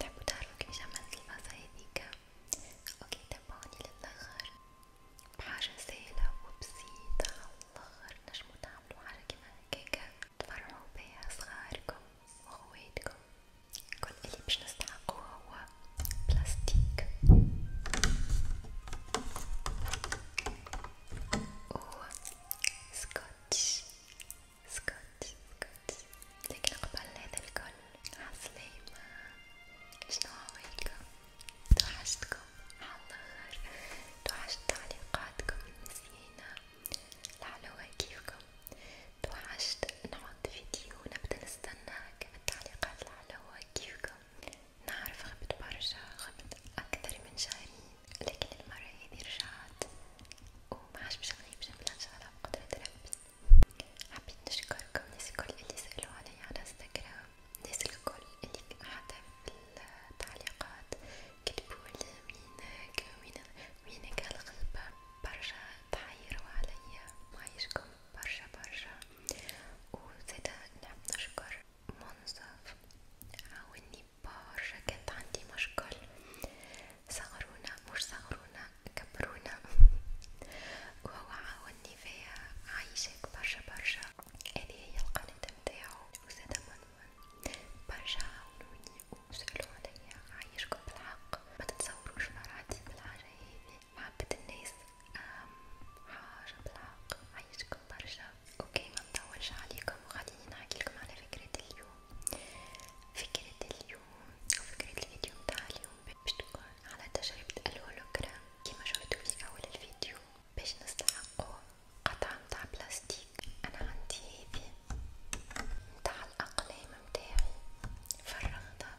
تحبوا تعرفوا كيفاش عملت الباصة هاذيكا؟ اوكي تابعوني للآخر، بحاجة سهلة وبسيطة عاللخر تنجمو تعملو حاجة كيما هاكاكا تفرحو بيها صغاركم وخواتكم، كل اللي باش نستحقوه هو plastique ou سكوتش سكوتش سكوتش لكن قبل هذا الكل عسلامة شنو هوايكم توحشتكم عاللخر توحشت تعليقاتكم المزيانة الحلوة كيفكم توحشت نعد فيديو نبدا نستنى معاك بالتعليقات العلوة كيفكم نعرف غبت برشا غبت أكثر من شهرين لكن المرة هذي رجعت ومعاش باش نغيب جملة إن شاء الله بقدرة ربي حبيت نشكركم الناس الكل اللي سألوا عليا على انستغرام الناس الكل اللي حتى في التعليقات كتبولي وينك وينك هالغيبة برشا تحيروا عليا معيشكم برشا برشا وزادا نحب نشكر منصف عاوني برشا كانت عندي مشكل صغرونا مش صغرونا كبرونا وهو عاوني فيا عايشك برشا برشا هذه هي القناة متاعو وزادا منون برشا عاونوني وسألو عليا عايشكم بالحق متتصوروش فرحتي بالحاجة هذي محبة الناس أهم حاجة بالحق عايشكم برشا اوكي منطولش عليكم وخليني نحكيلكم على فكرة اليوم فكرة اليوم وفكرة الفيديو متاع اليوم باش تكون على تجربة الهولوجرام كيما شفتو في أول الفيديو باش نستحقو قطعة متاع بلاستيك أنا عندي هذي متاع الأقلام متاعي فرغتها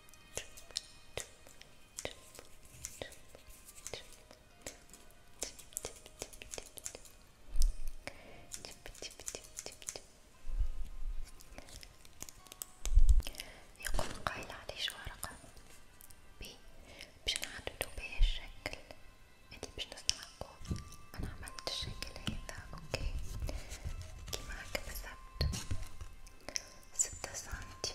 يقول القائل عليه شو رقم بي باش نعددو بيه الشكل هادي باش نصنعو انا عملت الشكل هذا اوكي كيما هكا بالظبط ستة سنتي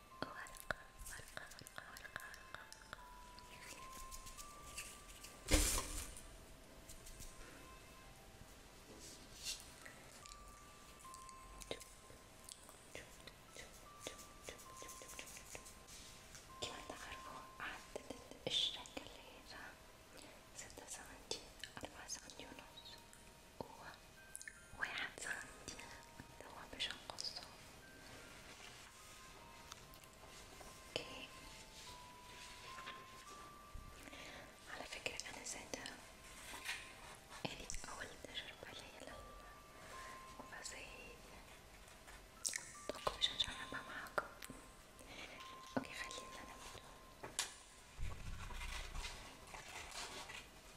ورقة ورقة ورقة ورقة ورقة كما تعرفوا عدد الاشتراك اللي هي ستة سنتين أربعة سنتين ونص هو واحد خمسين اللي هو باش نقصو اوكي على فكرة انا زادا هذه اول تجربة ليا للغسيل دوك باش نجربها معاكم اوكي خلينا نبدو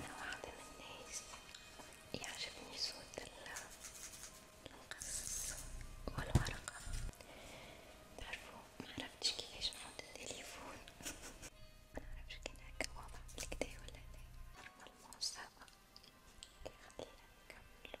أنا واحدة من الناس يعجبني صوت القص والورقة تعرفوا معرفتش كيفاش نحط التليفون منعرفش كان هكا واضح بالكدا ولا لا والموسيقى كيخلينا نكملو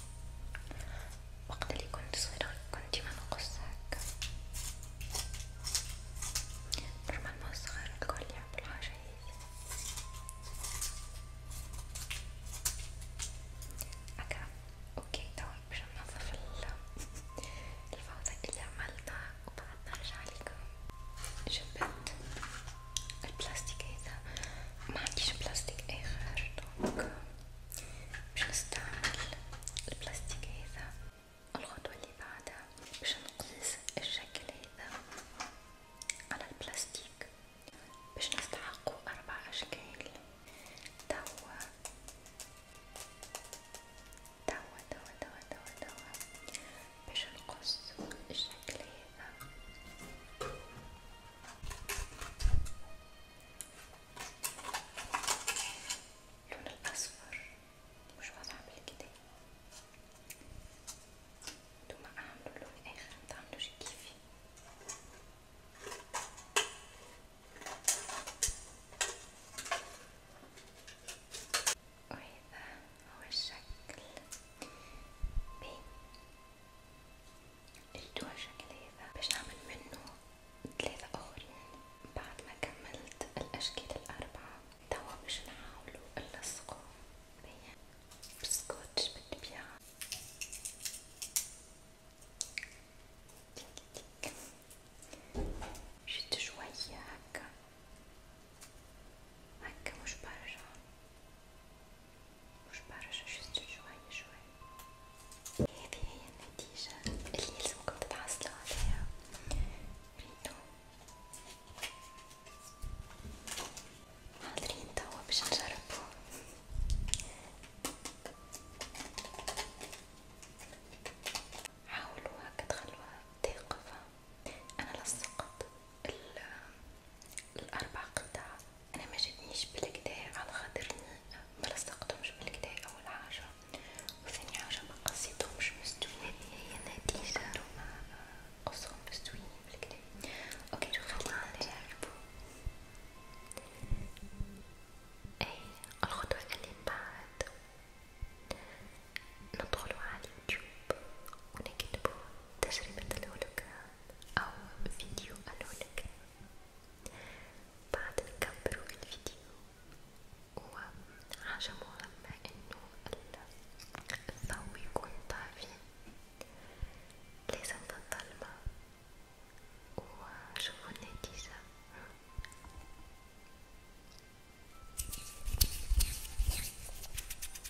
وقت اللي كنت صغيرة كنت ما نقص هكا نورمالمون الصغار الكل يحبو الحاجة هاذي هكا اوكي توا باش ننظف الفوضى اللي عملتها وبعد نرجع لكم جبت البلاستيك هذا ما عنديش بلاستيك اخر دونك باش نستعمل البلاستيك هذا الخطوه اللي بعدها باش نقيس الشكل هذا على البلاستيك باش نستحقو اربع اشكال توا توا توا توا توا توا باش نقص الشكل هذا اللون الأصفر مش واضح قبل إيه كده انتما اعملوا لون آخر متعملوش كيفي وهذا إيه هو الشكل بين الدوا شكليفة باش نعمل منه ثلاثة اخرين بعد ما كملت الاشكال الاربعة توا باش نحاولو نلصقو بسكوتش بالطبيعة شد شوية هكا هكا مش برشا مش بعرف شفت شوي شوي هذه هي النتيجة اللي يلزمكم تتحصلوا عليها ريتو حاضرين توا باش نجربو حاولوا هكا تخلوها تاقفة أنا لصقت الأربع قطع أنا ما جاتنيش بالكدا على خاطرني ملصقتهمش بالكدا أول حاجة وثاني حاجة مقصيتهمش مستويين هي نتيجة هما قصهم مستويين بالكدا أوكي خلينا نجربو أي الخطوة اللي بعد ندخلو على اليوتيوب ونكتبو تجربة الهولوكرام أو فيديو قالوا لك بعد كبروا الفيديو وحاجة مهمة إنه الضو يكون طافي لازم تضلمة وشوفوا النتيجة.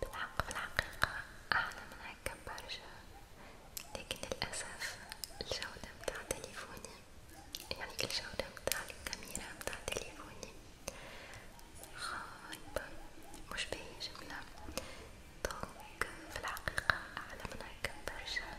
بالحق بالحقيقة أعلى من هكا برشا لكن للأسف الجودة متاع تليفوني يعني الجودة متاع الكاميرا متاع تليفوني خايبة مش باهية جملة دونك في الحقيقة أعلى من هكا برشا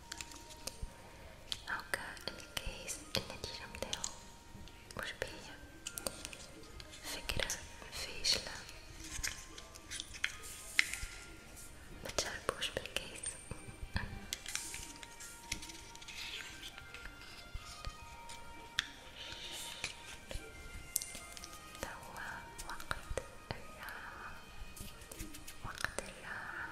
هاكا الكيس النتيجة متاعو مش باهية فكرة فاشلة متشربوش بالكيس توا وقت الراحة وقت الراحة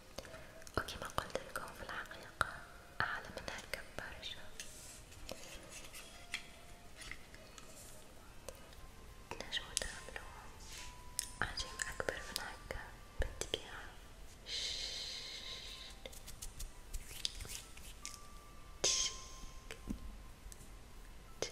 وكما قلت لكم في الحقيقة أعلى من هكا برشا تنجمو تعملوهم أحجام أكبر من هكا بالطبيعة تك تك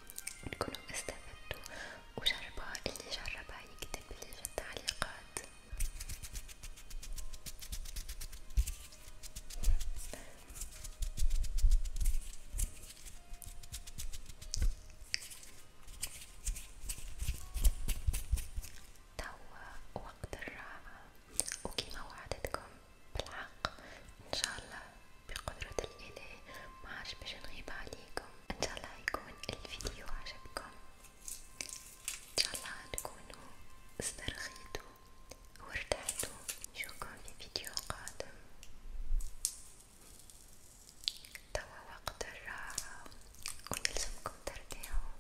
تكونوا استفدتوا وجربوها اللي جربها يكتب لي في التعليقات توا وقت الراحة وكما وعدتكم بالحق ان شاء الله بقدرة الإله معرفش باش نغيب عليكم ان شاء الله يكون الفيديو عجبكم ان شاء الله تكونوا استرخيتوا وارتحتوا نشوفكم في فيديو قادم توا وقت الراحة ويلزمكم ترتاحوا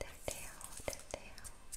ترتاحوا ترتاحوا